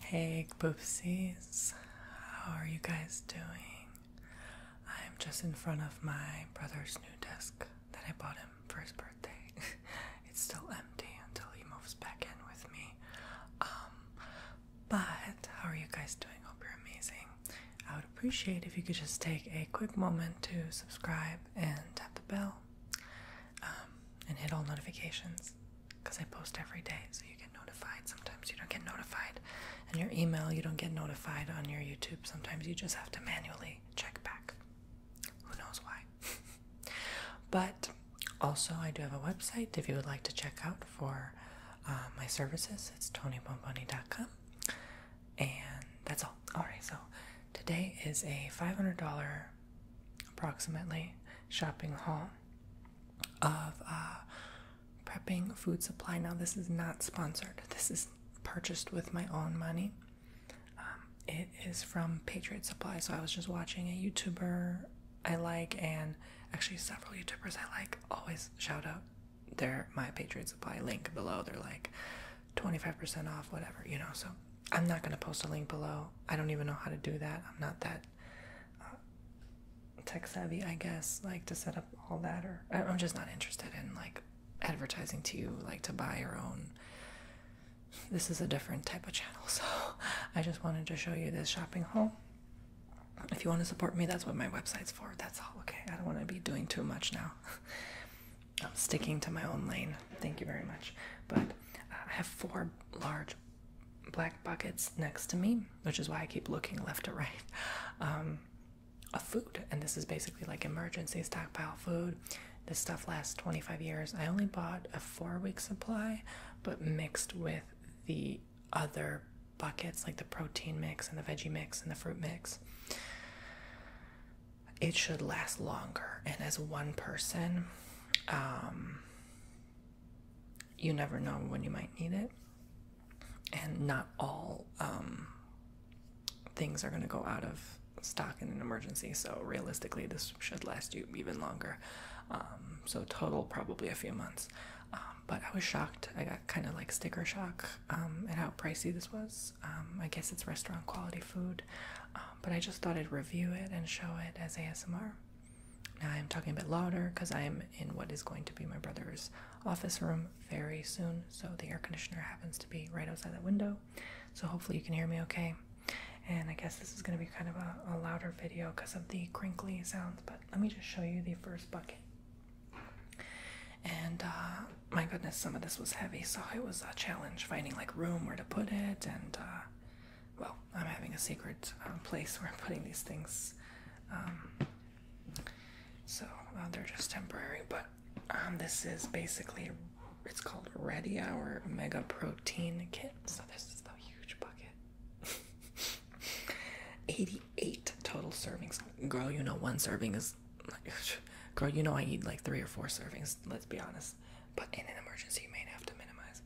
Hey, poopsies, how are you guys doing? I'm just in front of my brother's new desk that I bought him for his birthday. it's still empty until he moves back in with me. Um, but how are you guys doing? Hope you're amazing. I would appreciate if you could just take a quick moment to subscribe and tap the bell um, and hit all notifications because I post every day, so you get notified. Sometimes you don't get notified. And your email, you don't get notified on your YouTube. Sometimes you just have to manually check back. Who knows why? but also, I do have a website if you would like to check out for uh, my services. It's tonybomboni.com. And that's all. All right, so today is a $500 approximately shopping haul of uh, prepping food supply. Now, this is not sponsored, this is purchased with my own money. Um, it is from Patriot Supply. So, I was just watching a YouTuber I like, and actually, several YouTubers I like always shout out their my Patriot Supply link below. They're like 25% off, whatever, you know. So, I'm not going to post a link below. I don't even know how to do that. I'm not that uh, tech savvy, I guess, like to set up all that or I'm just not interested in like advertising to you like to buy your own. This is a different type of channel. So, I just wanted to show you this shopping haul. If you want to support me, that's what my website's for. That's all. Okay. I don't want to be doing too much now. I'm sticking to my own lane. Thank you very much. But uh, I have four large black buckets next to me, which is why I keep looking left to right, um, A food. And this is basically like emergency stockpile food. This stuff lasts 25 years. I only bought a four week supply, but mixed with the other buckets, like the protein mix and the veggie mix and the fruit mix. It should last longer. And as one person, um, you never know when you might need it. And not all um, things are going to go out of stock in an emergency. So, realistically, this should last you even longer. Um, so, total probably a few months. Um, but I was shocked. I got kind of like sticker shock at how pricey this was. I guess it's restaurant quality food, but I just thought I'd review it and show it as ASMR. Now I'm talking a bit louder because I am in what is going to be my brother's office room very soon. So the air conditioner happens to be right outside that window. So hopefully you can hear me okay. And I guess this is going to be kind of a, louder video because of the crinkly sounds. But let me just show you the first bucket. And uh, my goodness, some of this was heavy. So it was a challenge finding like room where to put it and uh, well, I'm having a secret um, place where I'm putting these things. Um, so uh, they're just temporary, but um, this is basically it's called Ready Hour Mega Protein Kit. So this is a huge bucket. 88 total servings. Girl, you know one serving is. Girl, you know I eat like three or four servings. Let's be honest. But in an emergency, you may have to minimize.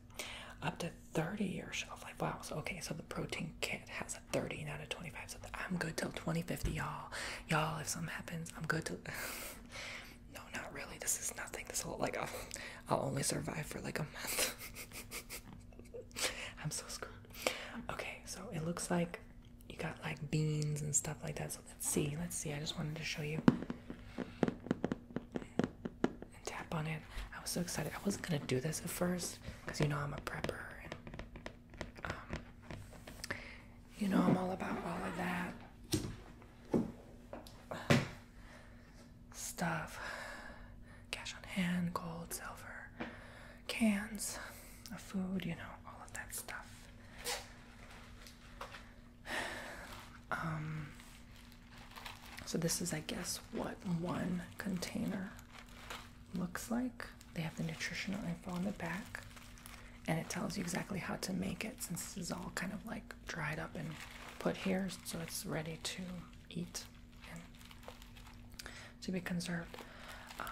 Up to 30 year shelf life. Wow. So okay, so the protein kit has a 30, not a 25. So I'm good till 2050, y'all. Y'all, if something happens, I'm good till. no, not really. This is nothing. This will like I'll only survive for like a month. I'm so screwed. Okay, so it looks like you got like beans and stuff like that. So let's see. Let's see. I just wanted to show you and tap on it. I was so excited. I wasn't gonna do this at first because you know I'm a prepper and um, you know I'm all about all of that stuff cash on hand, gold, silver, cans of food, you know, all of that stuff. Um, so this is, I guess, what one container looks like. They have the nutritional info on the back, and it tells you exactly how to make it since this is all kind of like dried up and put here, so it's ready to eat and to be conserved. Um,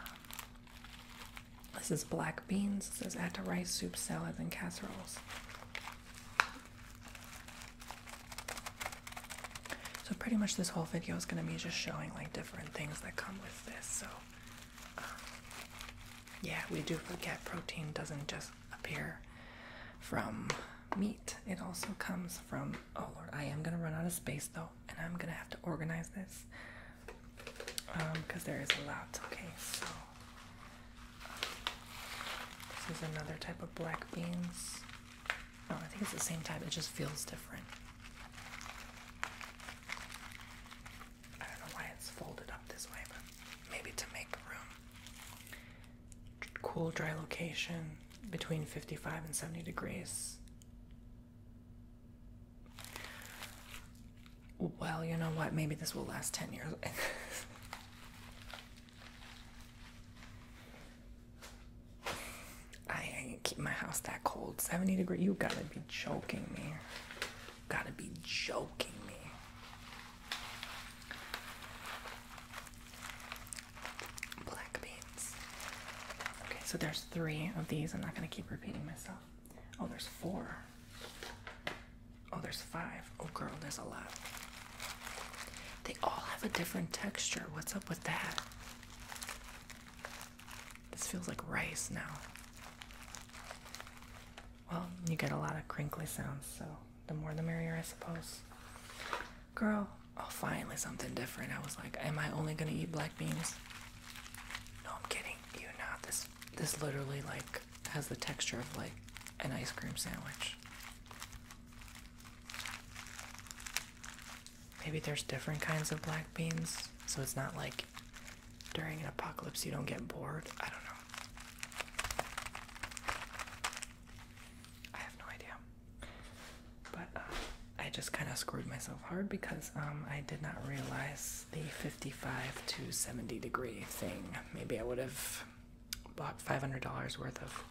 this is black beans. It says add to rice, soup, salads, and casseroles. So pretty much this whole video is going to be just showing like different things that come with this. So um, yeah, we do forget protein doesn't just appear from meat. It also comes from oh lord, I am going to run out of space though, and I'm going to have to organize this because um, there is a lot. Okay, so this is another type of black beans. No, oh, I think it's the same type, it just feels different. I don't know why it's folded up this way, but maybe to make room. Cool, dry location between 55 and 70 degrees. Well, you know what? Maybe this will last 10 years. I ain't keep my house that cold. 70 degree. You gotta be joking me. You gotta be joking me. Black beans. Okay, so there's three of these. I'm not gonna keep repeating myself. Oh, there's four. Oh, there's five. Oh, girl, there's a lot. They all have a different texture. What's up with that? This feels like rice now. Well, you get a lot of crinkly sounds, so the more the merrier, I suppose. Girl, oh, finally something different. I was like, am I only gonna eat black beans? No, I'm kidding. You know This this literally like has the texture of like an ice cream sandwich. Maybe there's different kinds of black beans, so it's not like during an apocalypse you don't get bored. I don't know. I have no idea. But uh, I just kind of screwed myself hard because um, I did not realize the 55 to 70 degree thing. Maybe I would have bought $500 worth of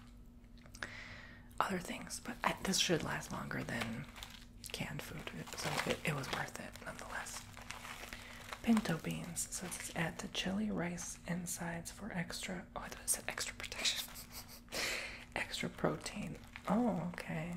other things, but this should last longer than canned food, so it, it was worth it nonetheless. Pinto beans, so this is add to chili, rice, insides for extra. Oh, I thought it said extra protection, extra protein. Oh, okay.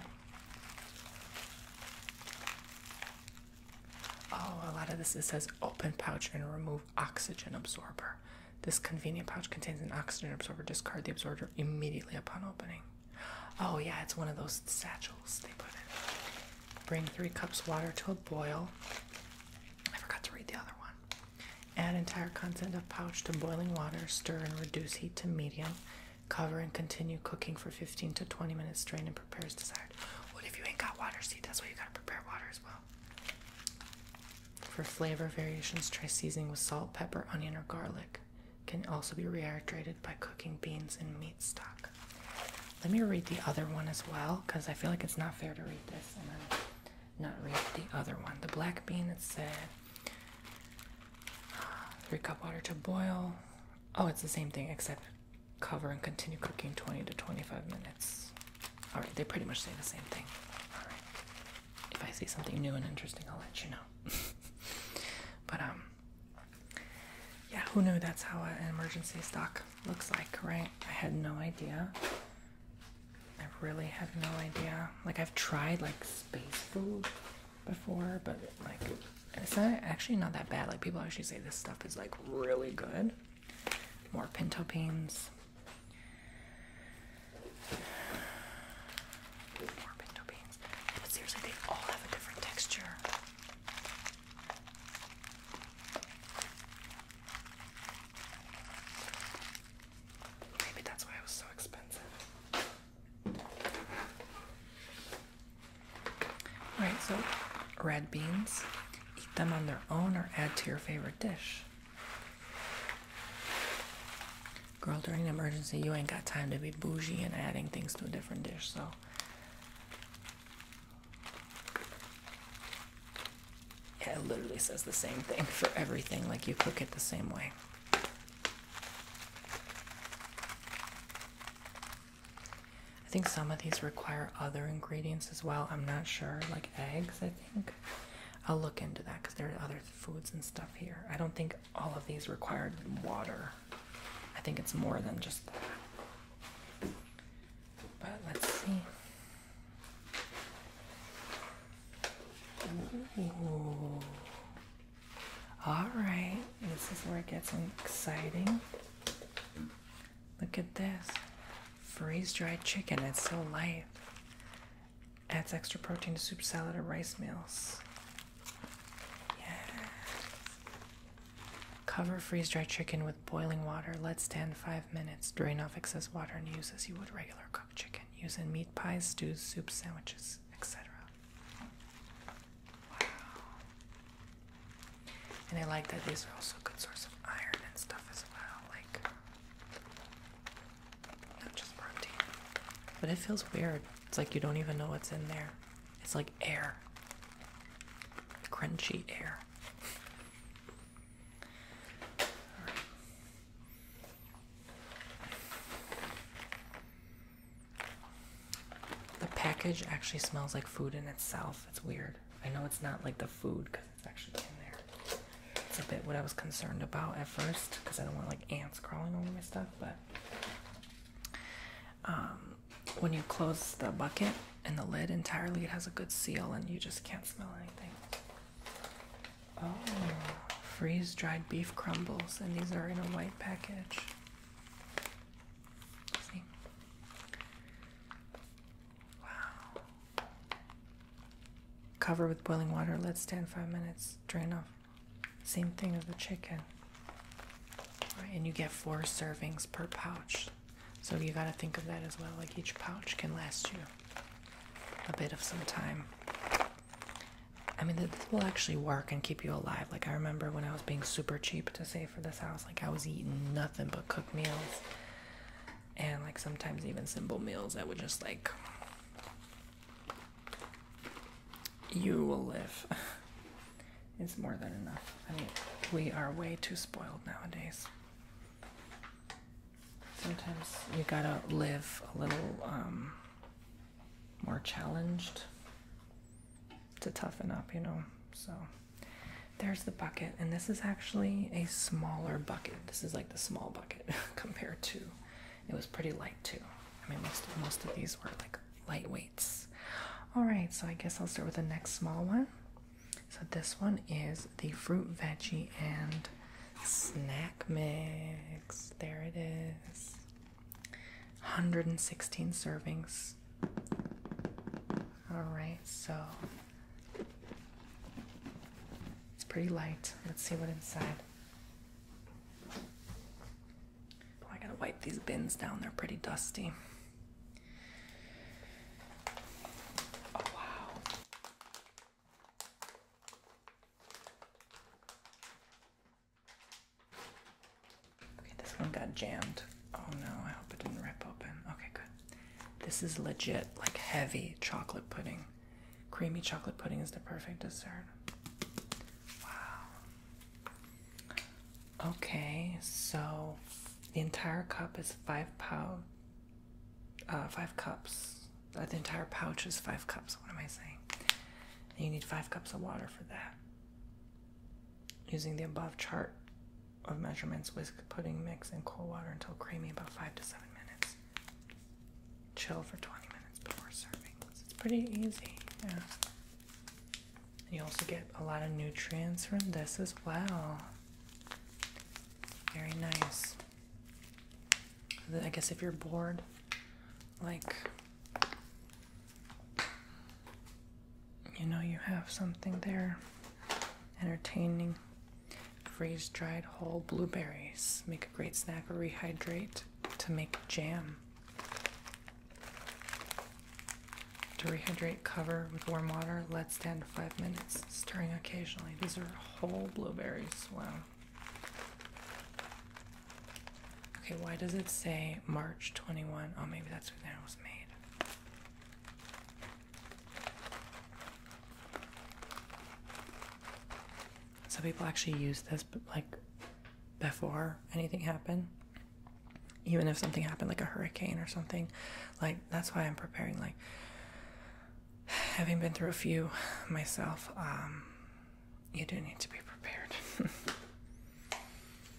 Oh, a lot of this it says open pouch and remove oxygen absorber. This convenient pouch contains an oxygen absorber. Discard the absorber immediately upon opening. Oh, yeah, it's one of those satchels they put in. Bring three cups water to a boil. I forgot to read the other one. Add entire content of pouch to boiling water, stir and reduce heat to medium. Cover and continue cooking for 15 to 20 minutes. Strain and prepare as desired. What if you ain't got water? See, that's why you gotta prepare water as well. For flavor variations, try seasoning with salt, pepper, onion, or garlic. Can also be rehydrated by cooking beans in meat stock. Let me read the other one as well because I feel like it's not fair to read this and then not read the other one. The black bean, it said three cup water to boil. Oh, it's the same thing except cover and continue cooking 20 to 25 minutes. All right, they pretty much say the same thing. All right. If I see something new and interesting, I'll let you know. but um, yeah, who knew that's how an emergency stock looks like, right? I had no idea. I really had no idea. Like I've tried like space food before, but like it's not actually not that bad. Like people actually say this stuff is like really good. More pinto beans. seriously, they all have a different texture. Maybe that's why it was so expensive. Alright, so red beans. Eat them on their own or add to your favorite dish. Girl, during an emergency, you ain't got time to be bougie and adding things to a different dish, so. Yeah, it literally says the same thing for everything, like you cook it the same way. I think some of these require other ingredients as well. I'm not sure, like eggs, I think. I'll look into that because there are other foods and stuff here. I don't think all of these required water. I think it's more than just that. But let's see. All right, this is where it gets exciting. Look at this freeze dried chicken. It's so light. Adds extra protein to soup, salad, or rice meals. Cover freeze dried chicken with boiling water. Let stand five minutes. Drain off excess water and use as you would regular cooked chicken. Use in meat pies, stews, soups, sandwiches, etc. And I like that these are also good sources of iron and stuff as well, like not just protein. But it feels weird. It's like you don't even know what's in there. It's like air. Crunchy air. The package actually smells like food in itself. It's weird. I know it's not like the food because it's actually in there. It's a bit what I was concerned about at first because I don't want like ants crawling over my stuff, but um, when you close the bucket and the lid entirely, it has a good seal and you just can't smell anything. Oh, freeze dried beef crumbles, and these are in a white package. Wow. Cover with boiling water, let stand five minutes, drain off. Same thing with the chicken. and you get four servings per pouch. So you got to think of that as well. Like each pouch can last you a bit of some time. I mean, this will actually work and keep you alive. Like I remember when I was being super cheap to save for this house, like I was eating nothing but cooked meals and like sometimes even simple meals I would just like you will live. it's more than enough. I mean, we are way too spoiled nowadays. Sometimes you gotta live a little um, more challenged to toughen up, you know. So. There's the bucket, and this is actually a smaller bucket. This is like the small bucket compared to it was pretty light too. I mean most most of these were like lightweights. Alright, so I guess I'll start with the next small one. So this one is the fruit veggie and snack mix. There it is. 116 servings. Alright, so it's pretty light. Let's see what inside. Oh, I gotta wipe these bins down. They're pretty dusty. Oh, wow. Okay, this one got jammed. Oh no, I hope it didn't rip open. Okay, good. This is legit, like heavy chocolate pudding. Creamy chocolate pudding is the perfect dessert. Wow. Okay, so the entire cup is five pound, uh, five cups. Uh, the entire pouch is five cups. What am I saying? you need five cups of water for that. Using the above chart of measurements, whisk pudding mix in cold water until creamy about 5 to 7 minutes. Chill for 20 minutes before serving. it's pretty easy. Yeah. you also get a lot of nutrients from this as well. Very nice. I guess if you're bored, like, you know, you have something there entertaining Freeze dried whole blueberries make a great snack or rehydrate to make jam. To rehydrate, cover with warm water, let stand five minutes, stirring occasionally. These are whole blueberries. Wow. Okay, why does it say March 21? Oh, maybe that's when that was made. Some people actually use this, but like before anything happened, even if something happened, like a hurricane or something. Like, that's why I'm preparing. Like, having been through a few myself, um, you do need to be prepared.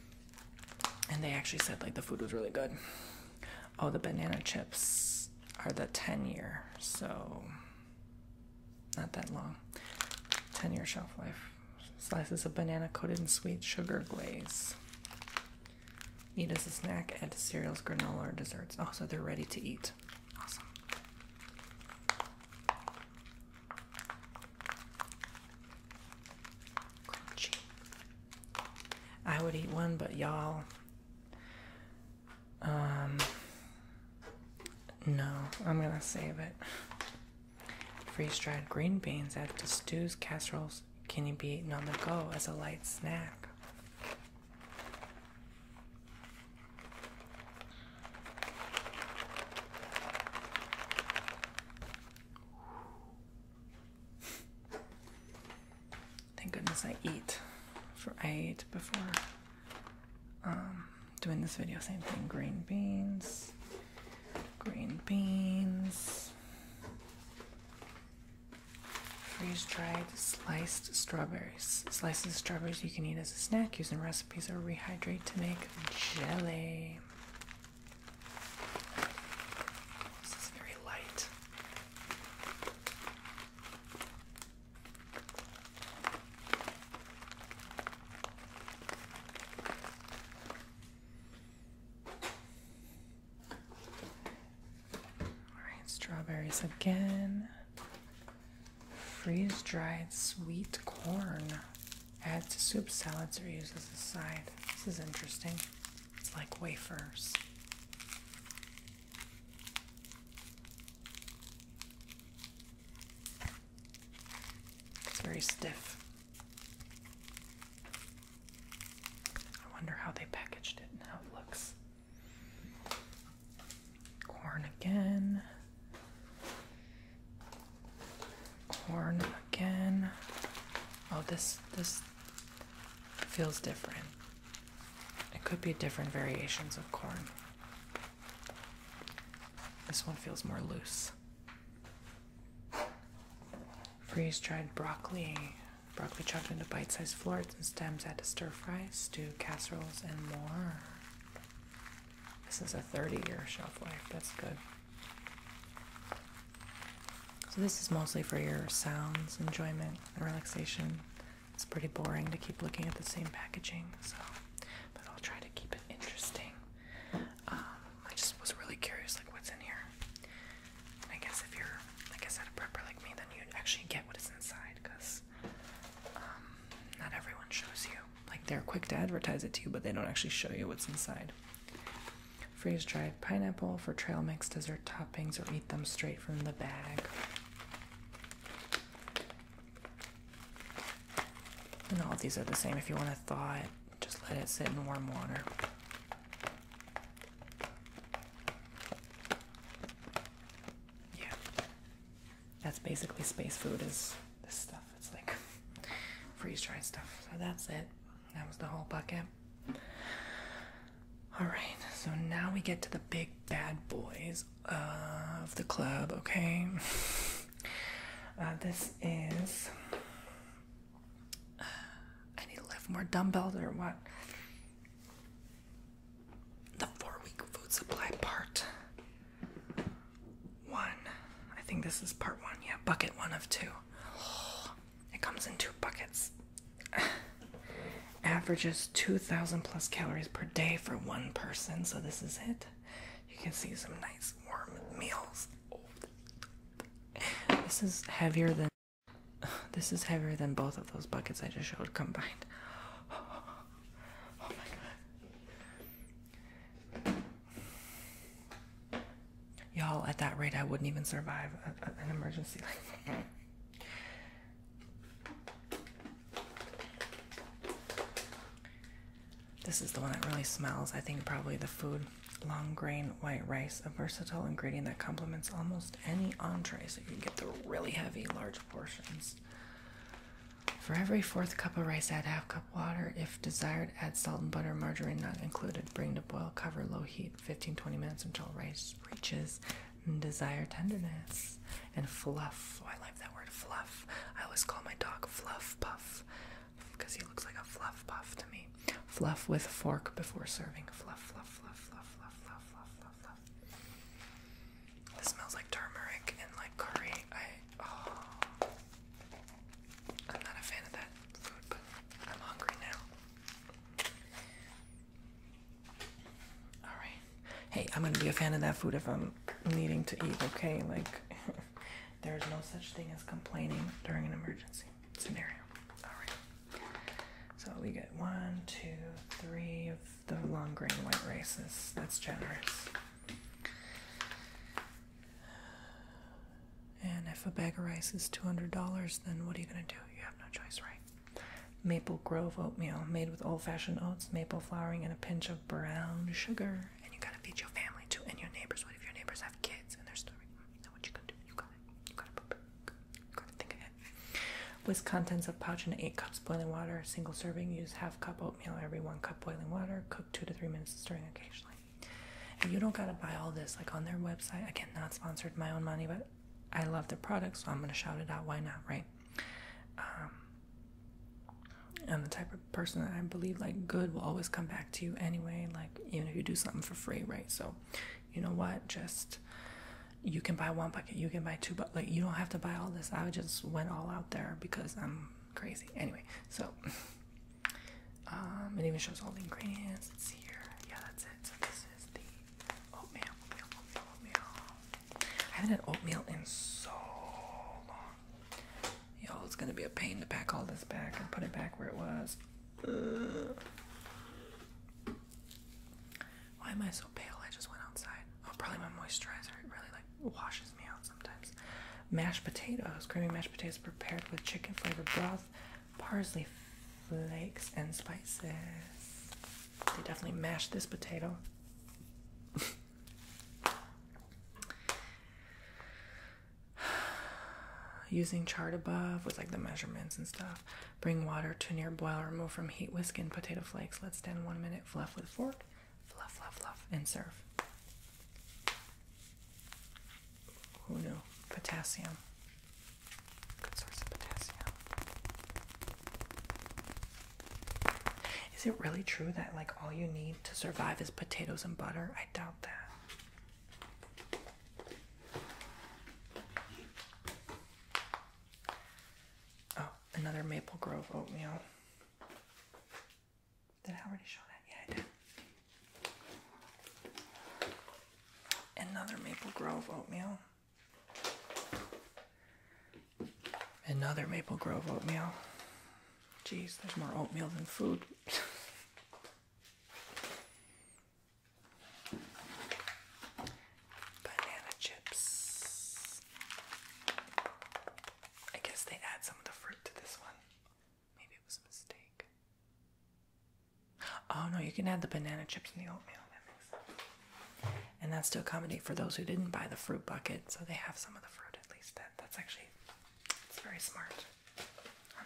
and they actually said, like, the food was really good. Oh, the banana chips are the 10 year, so not that long. 10 year shelf life. Slices of banana coated in sweet sugar glaze. Eat as a snack, add to cereals, granola, or desserts. Oh, so they're ready to eat. Awesome. Crunchy. I would eat one, but y'all, um, no, I'm gonna save it. Freeze dried green beans add to stews, casseroles, can you be eaten on the go as a light snack? Thank goodness I eat. For I ate before um, doing this video. Same thing. Green beans. Green beans. Freeze dried sliced strawberries. Slices of strawberries you can eat as a snack, use in recipes, or rehydrate to make jelly. This is very light. Alright, strawberries again. Freeze dried sweet corn. Add to soup salads or use as a side. This is interesting. It's like wafers. It's very stiff. I wonder how they packaged it and it looks. Corn again. Corn again. Oh, this this feels different. It could be different variations of corn. This one feels more loose. Freeze dried broccoli. Broccoli chopped into bite sized florets and stems add to stir fries, stew, casseroles, and more. This is a 30 year shelf life. That's good. So, this is mostly for your sounds enjoyment and relaxation. It's pretty boring to keep looking at the same packaging, so but I'll try to keep it interesting. Um, I just was really curious, like what's in here. I guess if you're, like I said, a prepper like me, then you actually get what is inside, because um, not everyone shows you. Like they're quick to advertise it to you, but they don't actually show you what's inside. Freeze dried pineapple for trail mix dessert toppings or eat them straight from the bag. And all these are the same. If you want to thaw it, just let it sit in warm water. Yeah. That's basically space food is this stuff. It's like freeze dried stuff. So that's it. That was the whole bucket. Alright, so now we get to the big bad boys of the club, okay? Uh, this is. Uh, I need to lift more dumbbells or what? The four week food supply part one. I think this is part one. Yeah, bucket one of two. Oh, it comes in two buckets. Averages 2,000 plus calories per day for one person, so this is it. You can see some nice warm meals. This is heavier than this is heavier than both of those buckets I just showed combined. Oh, my god. Y'all, at that rate, I wouldn't even survive an emergency. This is the one that really smells. I think probably the food. Long grain white rice, a versatile ingredient that complements almost any entree, so you can get the really heavy, large portions. For every fourth cup of rice, add half cup water. If desired, add salt and butter, margarine not included. Bring to boil, cover low heat, 15-20 minutes until rice reaches desire tenderness and fluff. Oh, I like that word fluff. I always call my dog Fluff Puff because he looks like a fluff puff to me. Fluff with fork before serving. Fluff, fluff, fluff, fluff, fluff, fluff, fluff, fluff, This smells like turmeric and like curry. I oh, I'm not a fan of that food, but I'm hungry now. All right. Hey, I'm gonna be a fan of that food if I'm needing to eat. Okay, like there's no such thing as complaining during an emergency scenario. All right. So we get one, two, three of the long grain white races. That's generous. And if a bag of rice is $200, then what are you going to do? You have no choice, right? Maple Grove oatmeal made with old fashioned oats, maple flowering, and a pinch of brown sugar. And you gotta feed your family too, and your neighbors. What if your neighbors have kids and they're starving? You know what you can do? You gotta, you gotta, you gotta think ahead. Whisk contents of pouch in eight cups boiling water, single serving. Use half cup oatmeal every one cup boiling water. Cook two to three minutes, stirring occasionally. And you don't gotta buy all this like on their website. Again, not sponsored, my own money, but I love the product, so I'm gonna shout it out. Why not, right? Um, I'm the type of person that I believe like good will always come back to you anyway. Like even if you do something for free, right? So, you know what? Just you can buy one bucket, you can buy two, but like you don't have to buy all this. I just went all out there because I'm crazy. Anyway, so um, it even shows all the ingredients. See here. Yeah, that's it. So this is the Oatmeal, oatmeal, oatmeal, I haven't had oatmeal in so long. y'all. it's gonna be a pain to pack all this back and put it back where it was. Why am I so pale? I just went outside. Oh, probably my moisturizer. It really like washes me out sometimes. Mashed potatoes, creamy mashed potatoes prepared with chicken flavored broth, parsley flakes and spices. They definitely mashed this potato. Using chart above with like the measurements and stuff. Bring water to near boil, remove from heat, whisk in potato flakes, let stand one minute, fluff with fork, fluff, fluff, fluff, and serve. Who knew? Potassium. Good source of potassium. Is it really true that like all you need to survive is potatoes and butter? I doubt that. Oh, another Maple Grove oatmeal. Did I already show that? Yeah, I did. Another Maple Grove oatmeal. Another Maple Grove oatmeal. Jeez, there's more oatmeal than food. Banana chips. I guess they add some of the fruit to this one. Maybe it was a mistake. Oh no, you can add the banana chips and the oatmeal. And that's to accommodate for those who didn't buy the fruit bucket, so they have some of the fruit at least. that's actually it's very smart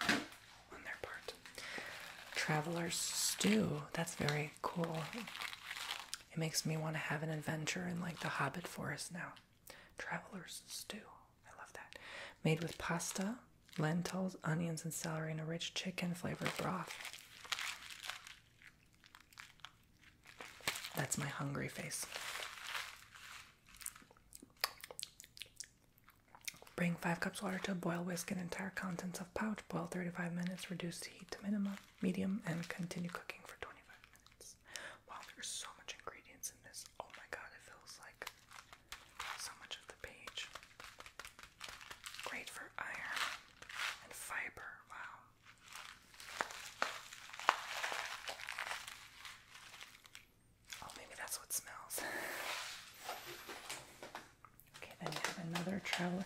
on their part. Traveler's stew. That's very cool. It makes me want to have an adventure in like the Hobbit forest now. Traveler's stew. I love that. Made with pasta, lentils, onions, and celery in a rich chicken flavored broth. That's my hungry face. Bring 5 cups water to a boil, whisk in entire contents of pouch, boil 35 minutes, reduce the heat to minimum, medium, and continue cooking for 25 minutes. Wow, there's so much ingredients in this. Oh my god, it feels like so much of the page. Great for iron and fiber. Wow. Oh, maybe that's what smells. Okay, then we have another traveler.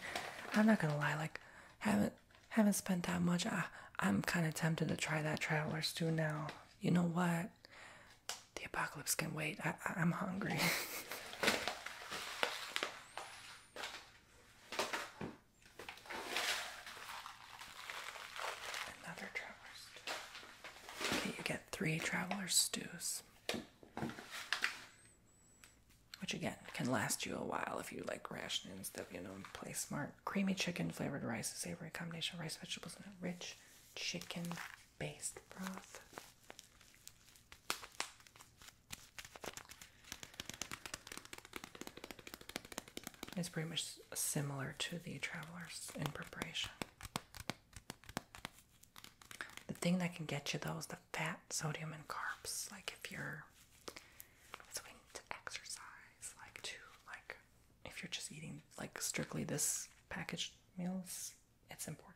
I'm not gonna lie, like haven't haven't spent that much. I I'm kind of tempted to try that traveler's stew now. You know what? The apocalypse can wait. I I'm hungry. Another traveler's stew. Okay, you get three traveler's stews. Which again can last you a while if you like rationing stuff, you know, play smart. Creamy chicken flavored rice, a savory combination of rice, vegetables, and a rich chicken based broth. It's pretty much similar to the travelers in preparation. The thing that can get you though is the fat, sodium, and carbs. Like if you're, that's to exercise. Like to like, if you're just eating like strictly this packaged meals, it's important.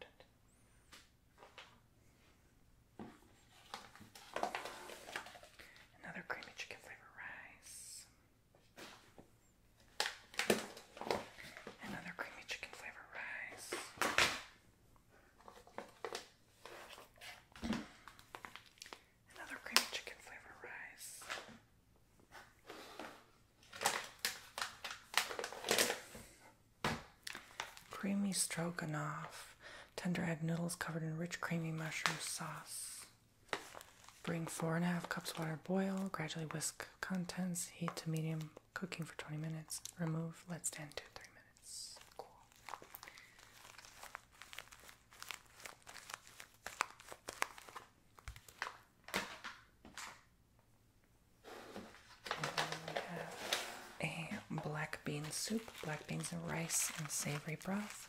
Another creamy chicken flavor rice. Another creamy chicken flavor rice. Another creamy chicken flavor rice. Creamy stroganoff. Tender egg noodles covered in rich, creamy mushroom sauce. Bring four and a half cups water, boil, gradually whisk contents, heat to medium, cooking for 20 minutes, remove, let stand two, three minutes. Cool a black bean soup, black beans and rice, and savory broth.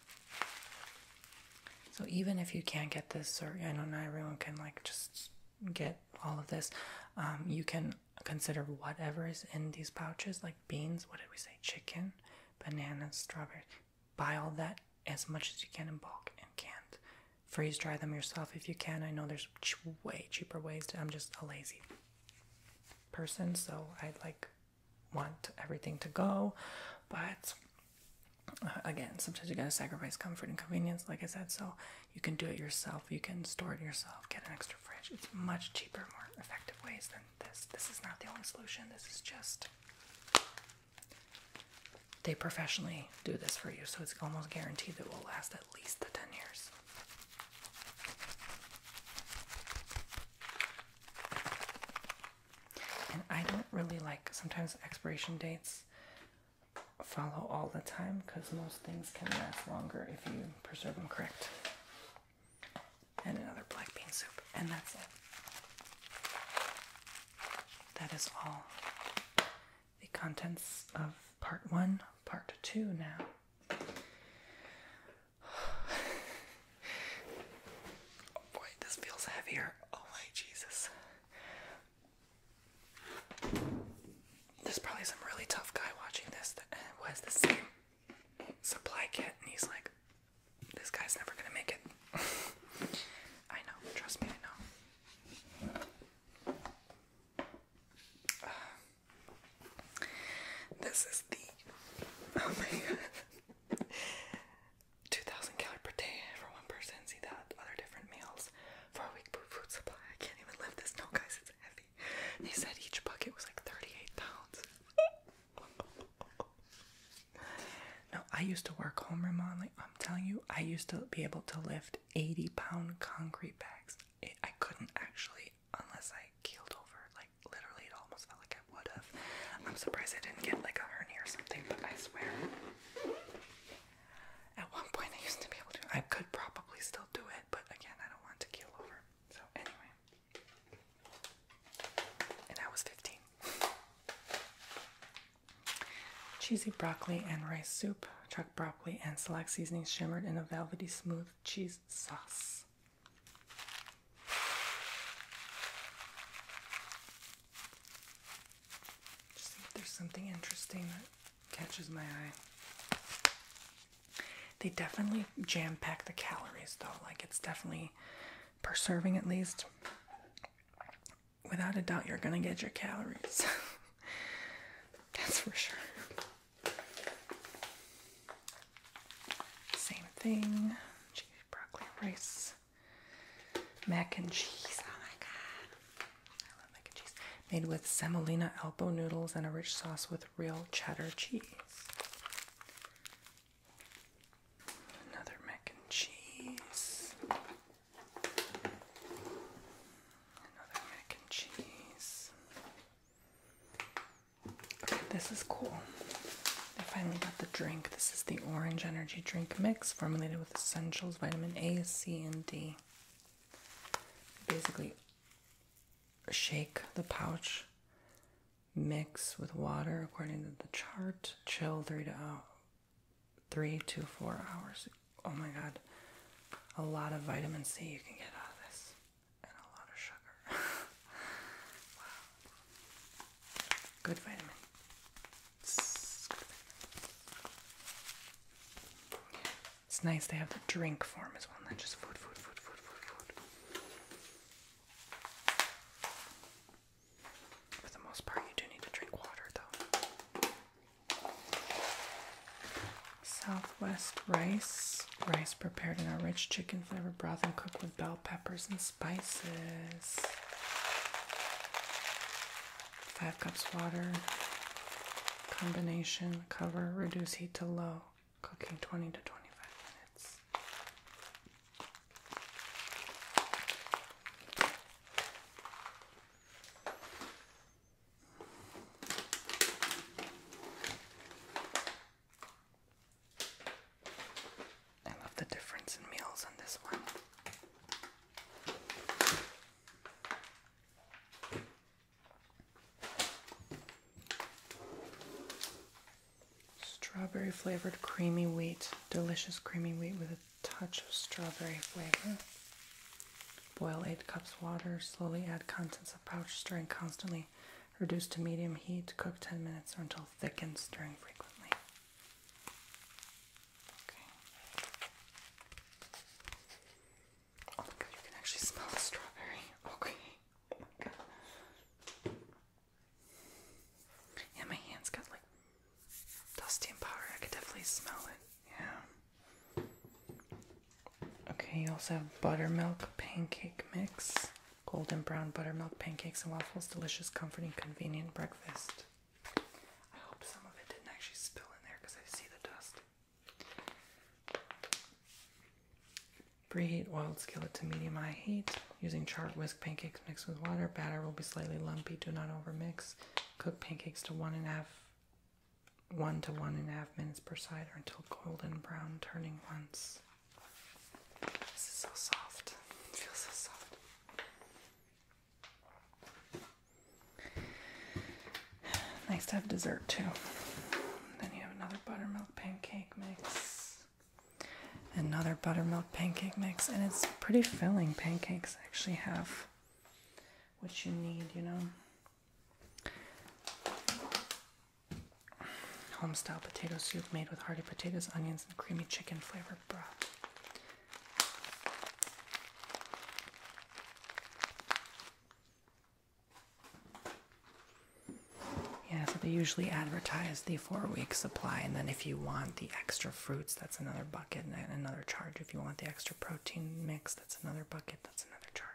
So even if you can't get this, or I know not everyone can like just get all of this, um, you can consider whatever is in these pouches, like beans. What did we say? Chicken, bananas, strawberries. Buy all that as much as you can in bulk and can freeze dry them yourself if you can. I know there's way cheaper ways. I'm just a lazy person, so I like want everything to go, but uh, again, sometimes you gotta sacrifice comfort and convenience, like I said. So you can do it yourself, you can store it yourself, get an extra fridge. It's much cheaper, more effective ways than this. This is not the only solution, this is just they professionally do this for you, so it's almost guaranteed that it will last at least the 10 years. I don't really like sometimes expiration dates follow all the time because most things can last longer if you preserve them correct. And another black bean soup. And that's it. That is all the contents of part one, part two now oh boy, this feels heavier. Oh my Jesus. There's probably some really tough guy watching this that uh, was the same supply kit, and he's like, this guy's never gonna make it. I know, trust me, I know. This is the oh my god, two thousand calorie per day for one person. See that other different meals for a week food supply. I can't even lift this. No, guys, it's heavy. They said each bucket was like thirty-eight pounds. no, I used to work home, Ramon. I'm telling you, I used to be able to lift eighty-pound concrete bags. I couldn't actually unless I keeled over. Like literally, it almost felt like I would have. I'm surprised I didn't get like a hernia or something, but I swear. At one point, I used to be able to. I could probably still do it, but again, I don't want to keel over. So anyway, and I was 15. Cheesy broccoli and rice soup, chuck broccoli and select seasoning shimmered in a velvety smooth cheese sauce. see if there's something interesting that catches my eye. They definitely jam pack the calories though, like it's definitely per serving at least. Without a doubt, you're gonna get your calories. That's for sure. Same thing. Broccoli rice. Mac and cheese. Oh my god. I love mac and cheese. Made with semolina elbow noodles and a rich sauce with real cheddar cheese. Another mac and cheese. Another mac and cheese this is cool. I finally got the drink. This is the Orange Energy Drink Mix formulated with essentials, vitamin A, C, and D. Basically, shake the pouch, mix with water according to the chart, chill three to out. Uh, three to four hours. Oh my god, a lot of vitamin C you can get out of this and a lot of sugar. wow. Good vitamin. It's, nice they have the drink form as well, Then just food, food, food, food, food, food. For the most part, you do need to drink water though. Southwest rice. Rice prepared in a rich chicken flavor broth and cooked with bell peppers and spices. Five cups water. Combination. Cover. Reduce heat to low. Cooking 20 to 25 minutes. I love the difference in meals on this one. Strawberry flavored creamy wheat, delicious creamy wheat with a touch of strawberry flavor. Boil 8 cups water, slowly add contents of pouch, stirring constantly. Reduce to medium heat, cook 10 minutes or until thickened, stirring frequently. Oh my god, you can actually smell the strawberry. Okay. Oh yeah, my hands got like dusty powder. I could definitely smell it. Yeah. Okay, you also have buttermilk pancake mix, golden brown buttermilk pancakes and waffles, delicious, comforting, convenient breakfast. I hope some of it didn't actually spill in there because I see the dust. Preheat oiled skillet to medium high heat. Using charred whisk pancakes mixed with water, batter will be slightly lumpy. Do not over mix. Cook pancakes to one and a half one to one and a half minutes per side or until golden brown, turning once. This is so soft. feels so soft. Nice to have dessert too. Then you have another buttermilk pancake mix. Another buttermilk pancake mix, and it's pretty filling. Pancakes actually have what you need, you know. Homestyle potato soup made with hearty potatoes, onions, and creamy chicken flavor broth. Yeah, so they usually advertise the four week supply, and then if you want the extra fruits, that's another bucket and another charge. If you want the extra protein mix, that's another bucket, that's another charge.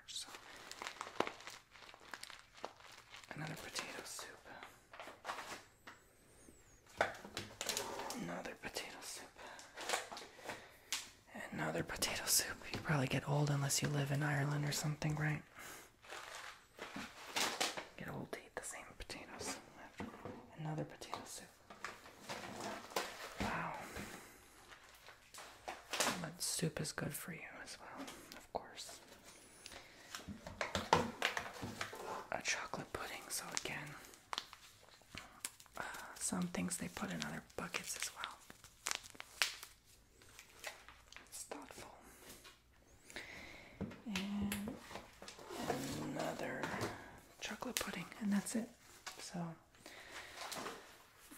Another potato soup. Another potato soup. Another potato soup. You probably get old unless you live in Ireland or something, right? Get old to eat the same potatoes. Another potato soup. Wow. But soup is good for you as well, of course. A chocolate pudding, so again, uh, some things they put in other buckets as well. It's thoughtful. And another chocolate pudding, and that's it. So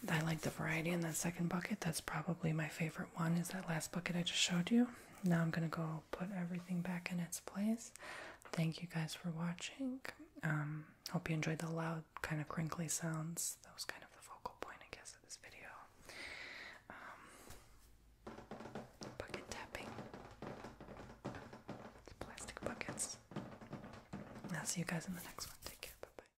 I like the variety in that second bucket. That's probably my favorite one is that last bucket I just showed you. Now I'm going to go put everything back in its place. Thank you guys for watching. Um, hope you enjoyed the loud kind of crinkly sounds. That was kind of the focal point, I guess, of this video. Um, bucket tapping. plastic buckets. I'll see you guys in the next one. Take care. Bye-bye.